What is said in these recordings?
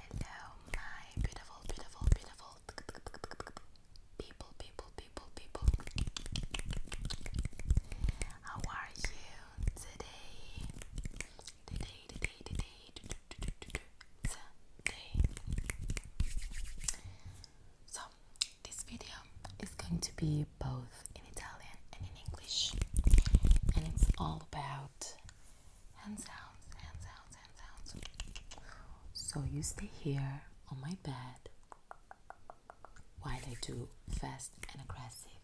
Hello, my beautiful, beautiful, beautiful people, people, people, people. How are you today? Today, today, today, today, today. So, this video is going to be both in Italian and in English, and it's all about hand sounds, hand sounds, hand sounds. So, you stay here on my bed while I do fast and aggressive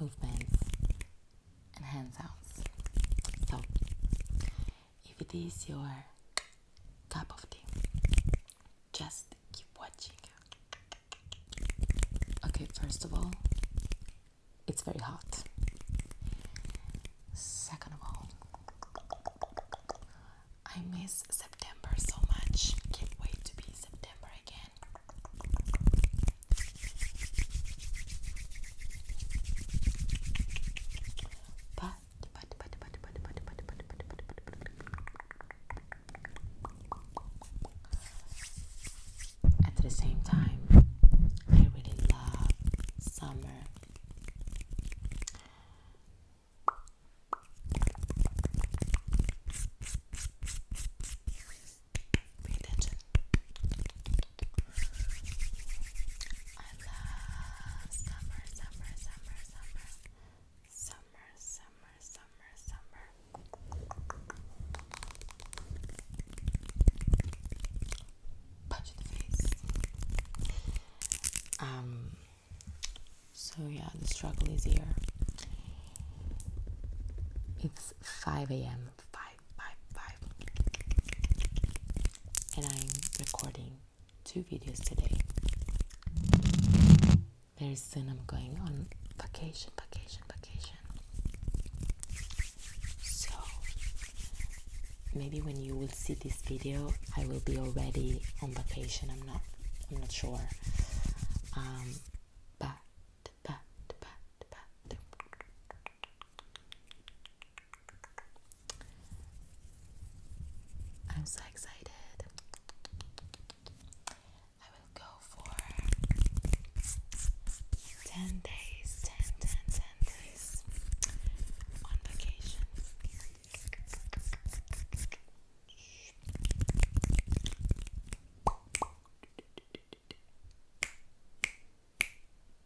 movements and hands out. So, if it is your type of thing, Just keep watching. Okay, first of all, it's very hot. Second of all, I miss September so much. Can't wait to be September again. But at the same time I really love summer I love summer, summer, summer, summer, summer, summer, summer, summer. Punch face. Um. So yeah, the struggle is here. It's five a.m. Five, five, five and I'm recording two videos today. Very soon I'm going on vacation, vacation, vacation. So maybe when you will see this video, I will be already on vacation. I'm not I'm not sure. Um I'm so excited. I will go for 10 days, 10, days on vacation.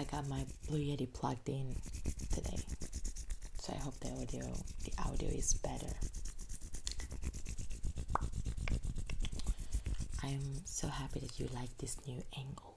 I got my Blue Yeti plugged in today, so I hope the audio the audio is better. I'm so happy that you like this new angle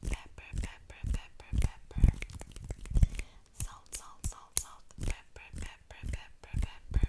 pepper, pepper, pepper, pepper. Salt, salt, salt, salt, pepper, pepper, pepper, pepper.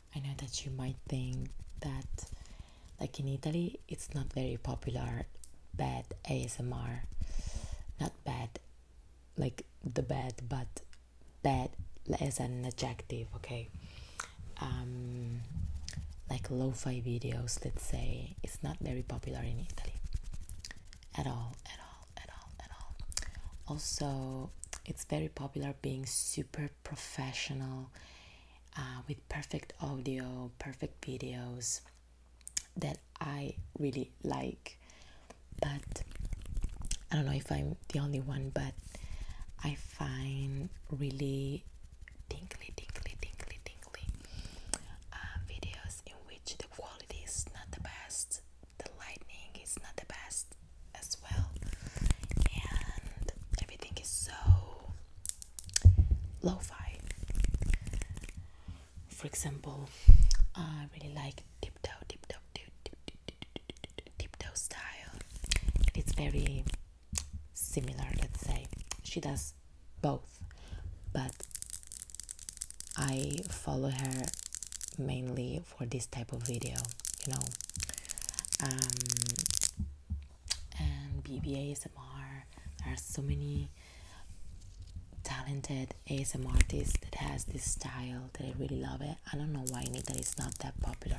I know that you might think that, like in Italy, it's not very popular bad ASMR. Not bad, like the bad, but bad as an adjective, okay? Um, like lo fi videos, let's say, it's not very popular in Italy at all, at all, at all, at all. Also, it's very popular being super professional uh, with perfect audio, perfect videos that I really like. But I don't know if I'm the only one, but I find really tingly, tingly, tingly, tingly uh, videos in which the quality is not the best, the lighting is not the best, as well, and everything is so lo fi. For example, I really like tiptoe, tiptoe, tiptoe style, it's very similar, let's say. She does both, but I follow her mainly for this type of video, you know. Um, and BBA SMR. there are so many talented ASMR artists that has this style that I really love it. I don't know why in Italy it's not that popular.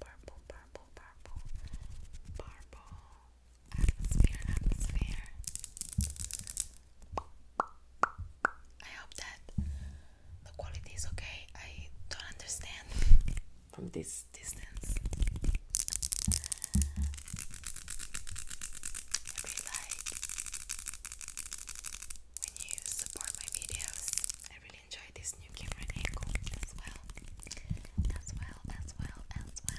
Purple, purple, purple, purple. Atmosphere, atmosphere. I hope that the quality is okay. I don't understand from this distance. It'd like when you support my videos. I really enjoy this new camera angle as well. As well, as well, as well.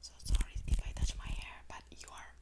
So sorry if I touch my hair, but you are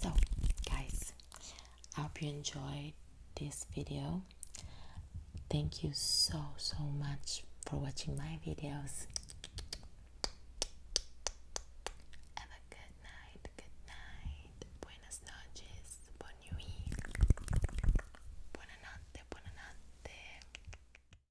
So, guys, I hope you enjoyed this video. Thank you so, so much for watching my videos. Have a good night, good night, buenas noches, bon nuit, buena notte, buena notte.